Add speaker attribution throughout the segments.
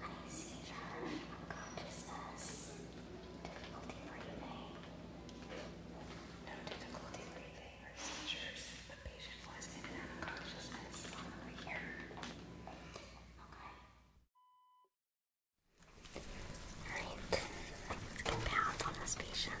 Speaker 1: anesthesia, unconsciousness, difficulty breathing. No difficulty breathing or seizures. The patient was in and out of consciousness on the way here. Okay. Alright, compound on this patient.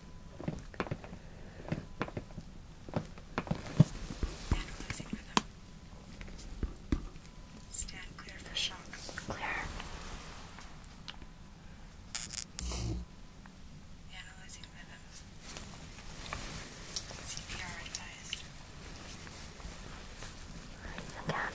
Speaker 1: Analyzing rhythm. Stand clear for shock. Clear. Analyzing rhythm. CPR advised. Again.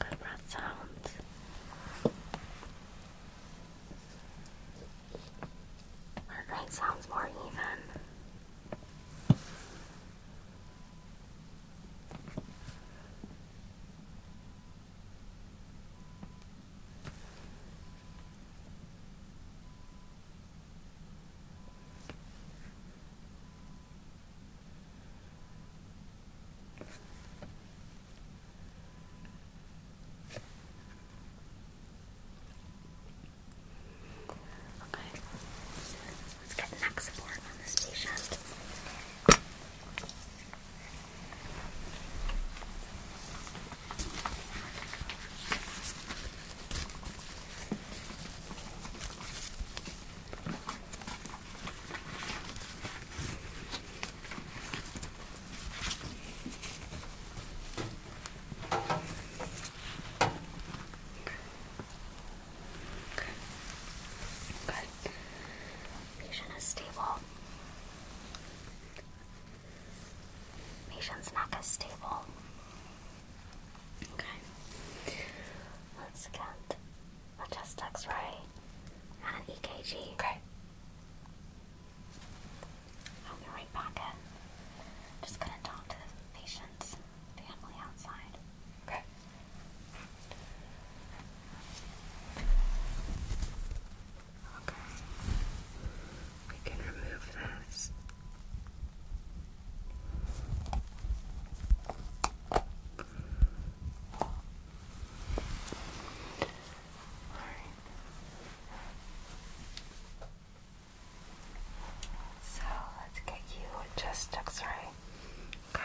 Speaker 1: Good breath sounds. Heart rate sounds more even. Okay. Let's get neck support on this patient. Okay. Patient is stable. Patient's neck is stable. Okay. Let's get a chest X-ray and an EKG. Okay. I'll be right back in. Just gonna talk to the patient's family outside. Okay. Okay. We can remove this. All right. So let's get you a chest Okay.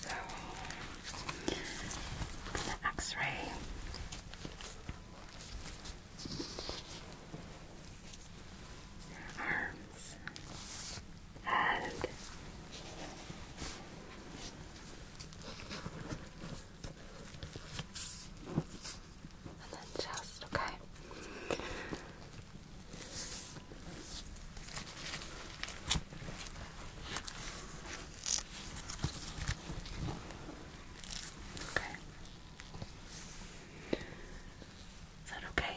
Speaker 1: So, the x ray. Arms, head, and then just okay? Okay. Is that okay?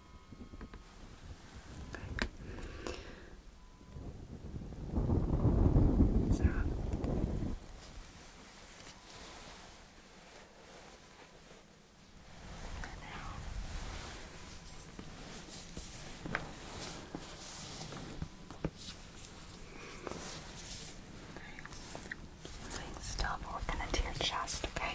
Speaker 1: Okay. So. Stop open into your chest, okay?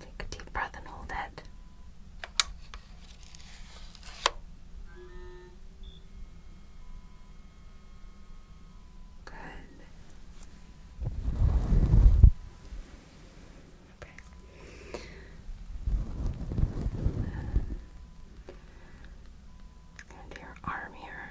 Speaker 1: Take a deep breath and hold it. Good. Okay and your arm here.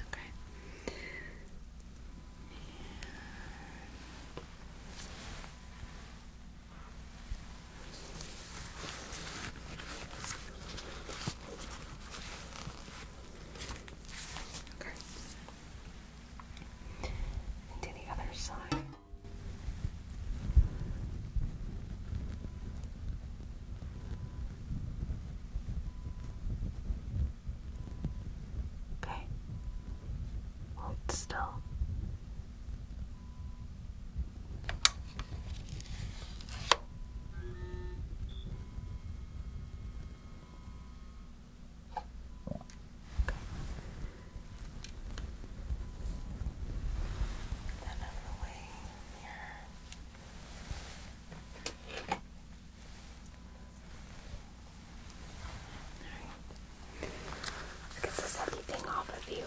Speaker 1: Okay. Okay. And to the other side. Okay. Hold still. Then over the way here. Alright. Get this heavy thing off of you.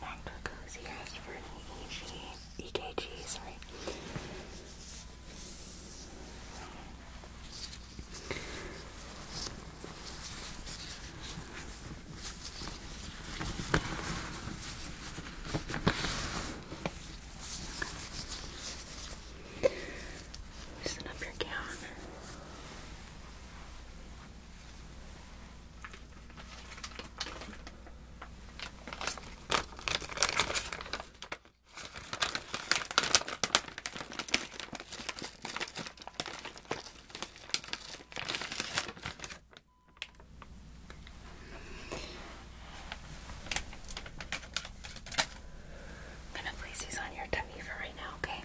Speaker 1: Dr. Cozy asked for an EG, EKG, sorry. Loosen up your gown. I'm gonna place these on your tummy for right now, okay?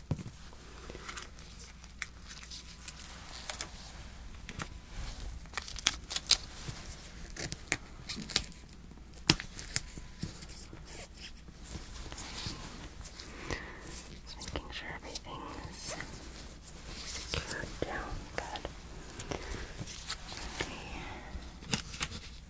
Speaker 1: Just making sure everything is down good. Okay.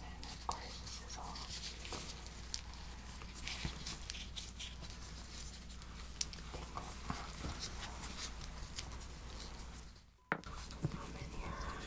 Speaker 1: And of course, this is all tangled up from in here. Okay.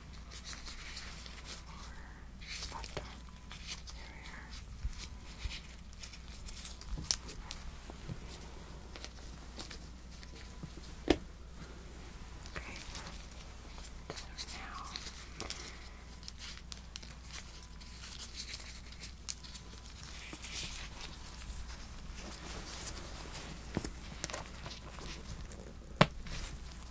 Speaker 1: or bottom area. Okay, so now Okay.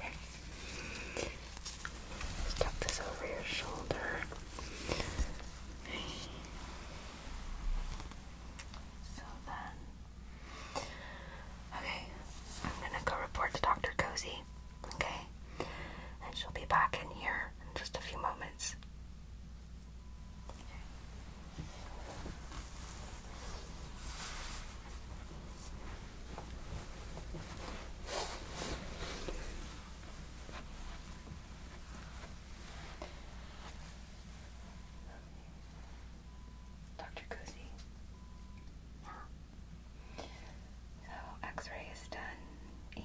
Speaker 1: Okay. Stop this over your shoulder. So then, okay, I'm gonna go report to Dr. Cozy, okay? And she'll be back in here just a few moments. Dr. Cousy. So X-ray is done and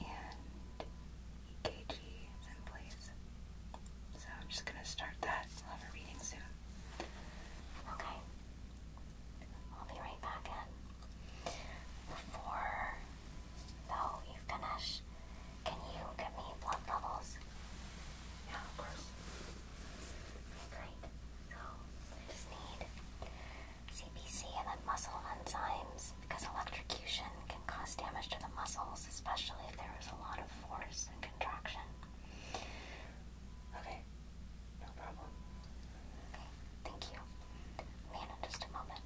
Speaker 1: KG in place. So I'm just going to start that. I'll have a reading soon. Okay. I'll be right back Before, though, you finish, can you get me blood levels? Yeah, of course. Great. So, I just need CBC and then muscle enzymes because electrocution can cause damage to the muscles, especially if there is a lot of force and contraction. Okay, no problem. Okay, thank you. Man, in just a moment.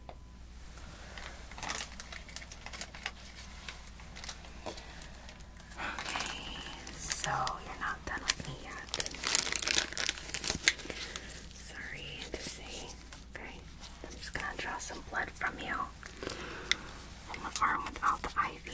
Speaker 1: Okay, so you're not done with me yet. Sorry to say. Okay, I'm just gonna draw some blood from you on the arm without the IV.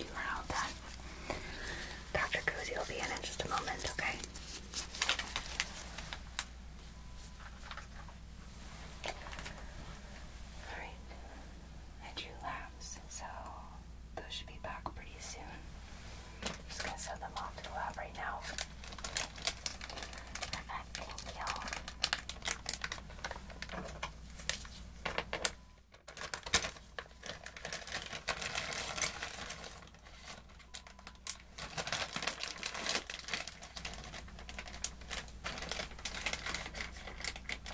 Speaker 1: You are all done. Dr. Kuzi will be in in just a moment, okay? Alright. I drew laps, so those should be back pretty soon. just gonna send them off to the lab right now. Perfect, thank you.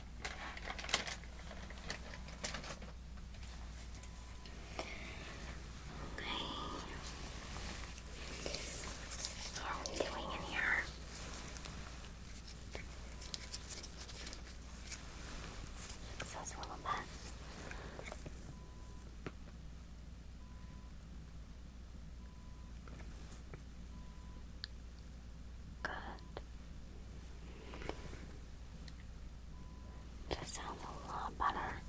Speaker 1: Okay. What are we doing in here? Fix us a little bit. Good. That sounds a lot better.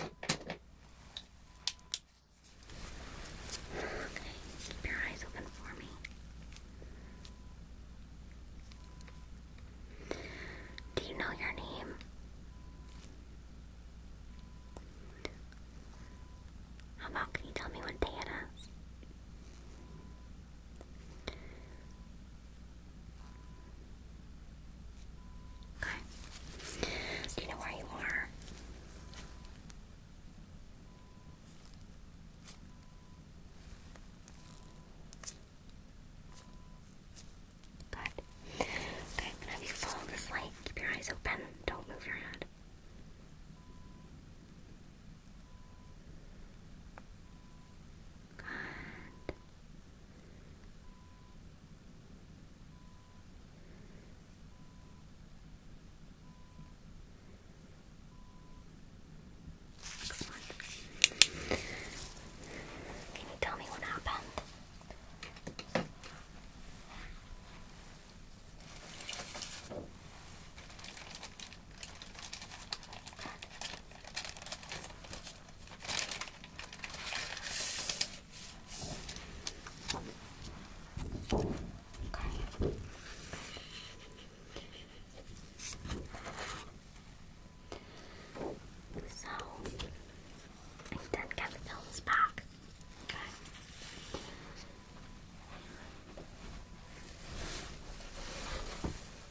Speaker 1: Okay, keep your eyes open for me. Do you know your name? How about can you tell me what day it is? Okay. Do you know where you are? Good. Okay, i you follow this light. Keep your eyes open. Don't move your head. Good. you Tell me what happened. Okay. So I've done Kevin back. Okay.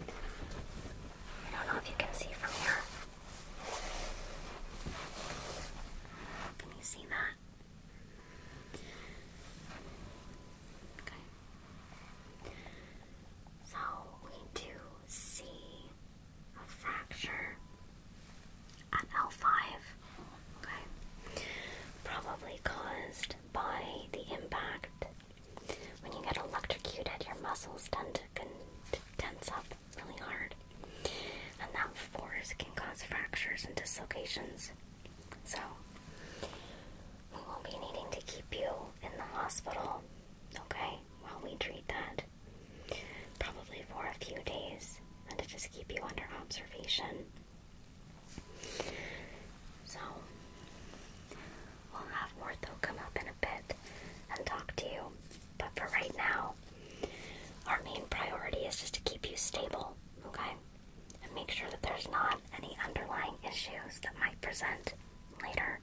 Speaker 1: I don't know if you can see from here. Can you see that? Okay. So we do see a fracture at L5. Okay. Probably caused by the impact when you get electrocuted, your muscles tend to, tense up really hard, and that force can cause fractures and dislocations. So, we will be needing to keep you in the hospital, okay, while we treat that. Probably for a few days, and to just keep you under observation. So, We'll have Ortho come up in a bit and talk to you. But for right now, our main priority is just to keep you stable, okay? And make sure that there's not any underlying issues that might present later,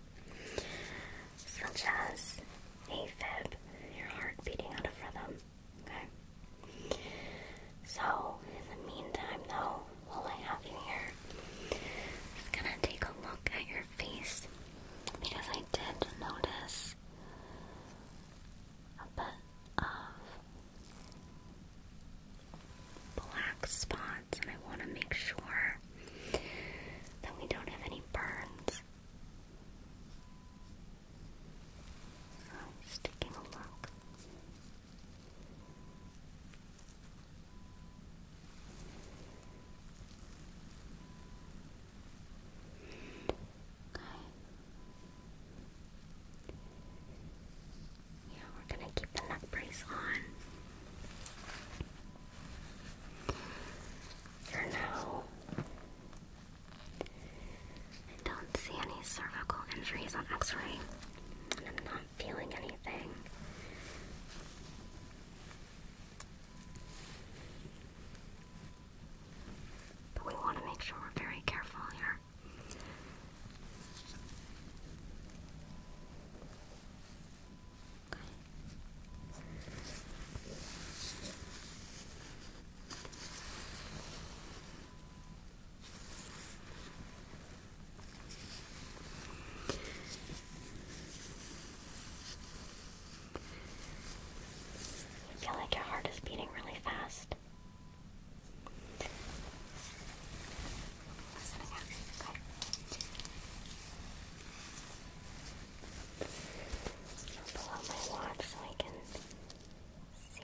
Speaker 1: such as AFib, your heart beating out of rhythm, okay? So, in the meantime, though, while I have you here, I'm just gonna take a look at your face because I did notice a bit of black spots, and I want to make sure that we don't have any burns. Oh, so, taking a look. Yeah, we're gonna keep the neck brace on for now. I don't see any cervical injuries on x-ray, and I'm not feeling anything. But we want to make sure we're very careful here. Okay. I feel like your heart is beating really fast. pull out my watch so I can see.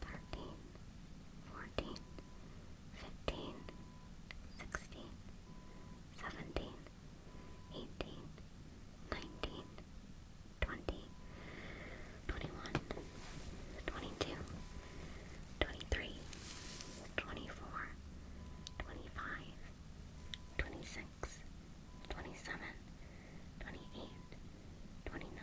Speaker 1: thirteen, fourteen, fifteen, sixteen, seventeen, eighteen, nineteen, twenty, twenty-one, twenty-two, twenty-three, twenty-four, twenty-five, twenty-six, twenty-seven, twenty-eight, twenty-nine. 30, 31, 32, 33, 34, 35, 36, 37, 38, 39,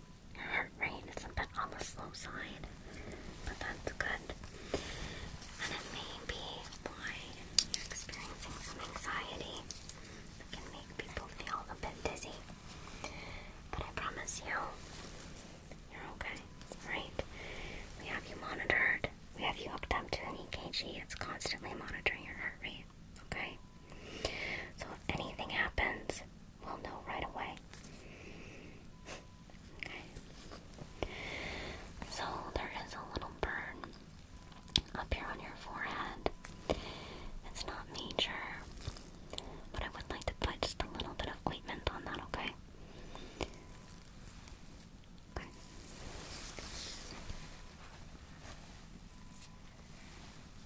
Speaker 1: your heart rate is a bit on the slow side, but that's good. And it may be why you're experiencing some anxiety that can make people feel a bit dizzy. But I promise you, you're okay, right? We have you monitored. We have you hooked up to an EKG. It's constantly monitoring your heart rate, okay? So if anything happens, we'll know right away. okay. So there is a little burn up here on your forehead. It's not major, but I would like to put just a little bit of ointment on that, okay?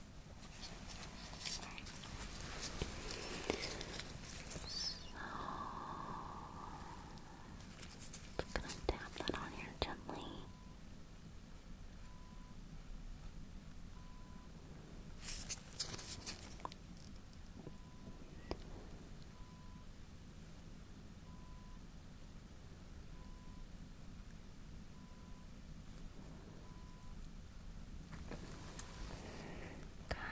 Speaker 1: just gonna tap that on here gently. Come on.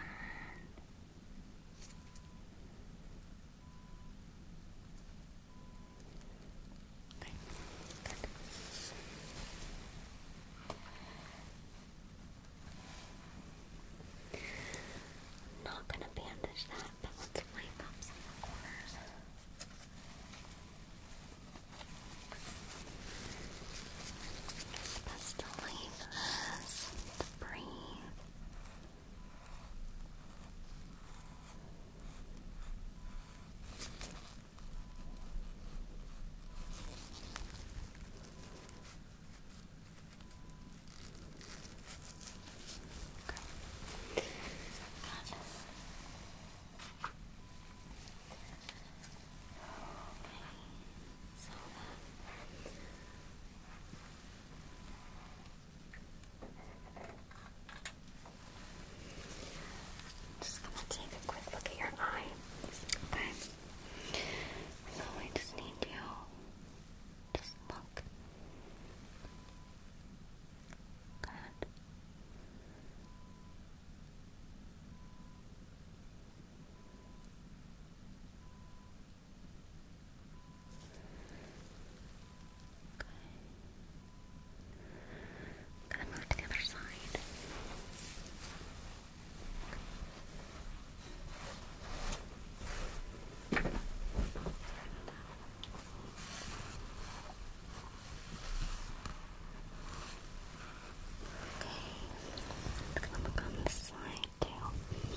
Speaker 1: Not gonna bandage that, but let's wipe up some of the corners. It's best to leave this breathe. So just gonna take a quick look at your eye. Okay. So I just need you just look. Good. I'm gonna move to the other side. Okay. Okay, I'm gonna look on this side too.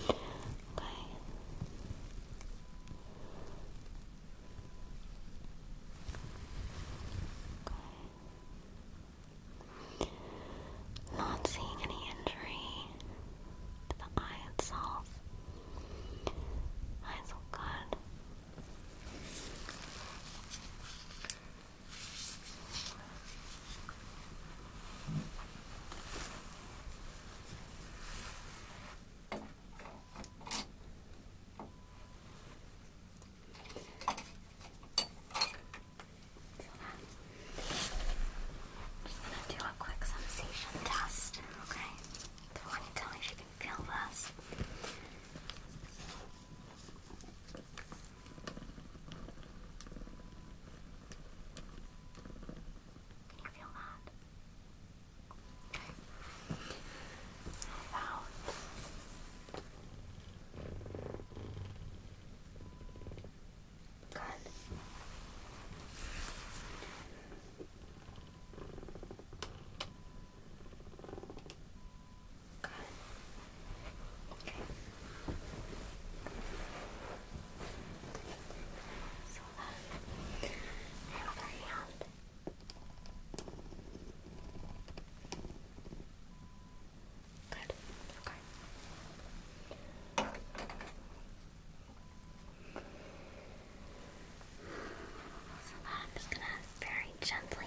Speaker 1: Okay. Okay. Not seeing any injury to the eye itself. Eyes look good. Just gonna do a quick sensation test, okay? So, when you tell me if you can feel this. Can you feel that? Okay. How about Good. Good. Okay. So then, your Good. Okay. So I'm just gonna very gently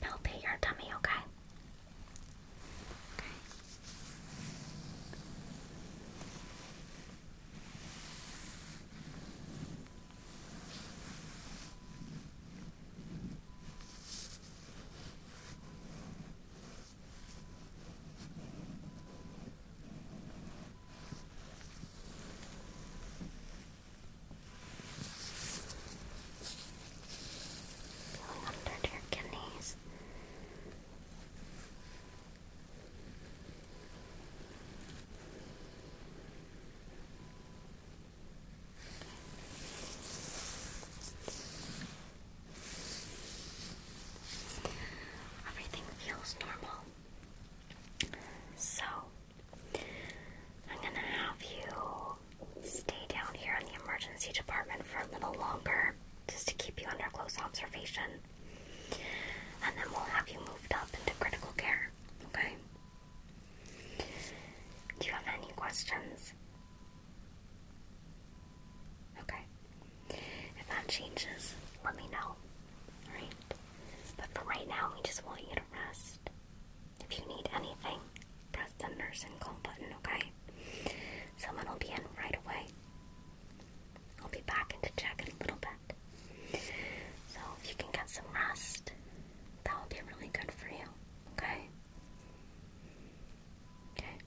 Speaker 1: palpate your tummy, okay? Okay. Okay. Feeling under your kidneys. Everything feels normal. So I'm gonna have you stay down here in the emergency department for a little longer just to keep you under close observation. And then we'll have you moved up into critical care, okay? Do you have any questions? Okay. If that changes, let me know. Alright? But for right now, we just want you to rest. If you need anything, press the nurse and call button, okay? Someone will be in right away. I'll be back to check in a little bit. So if you can get some rest, that will be really good for you, okay? Okay.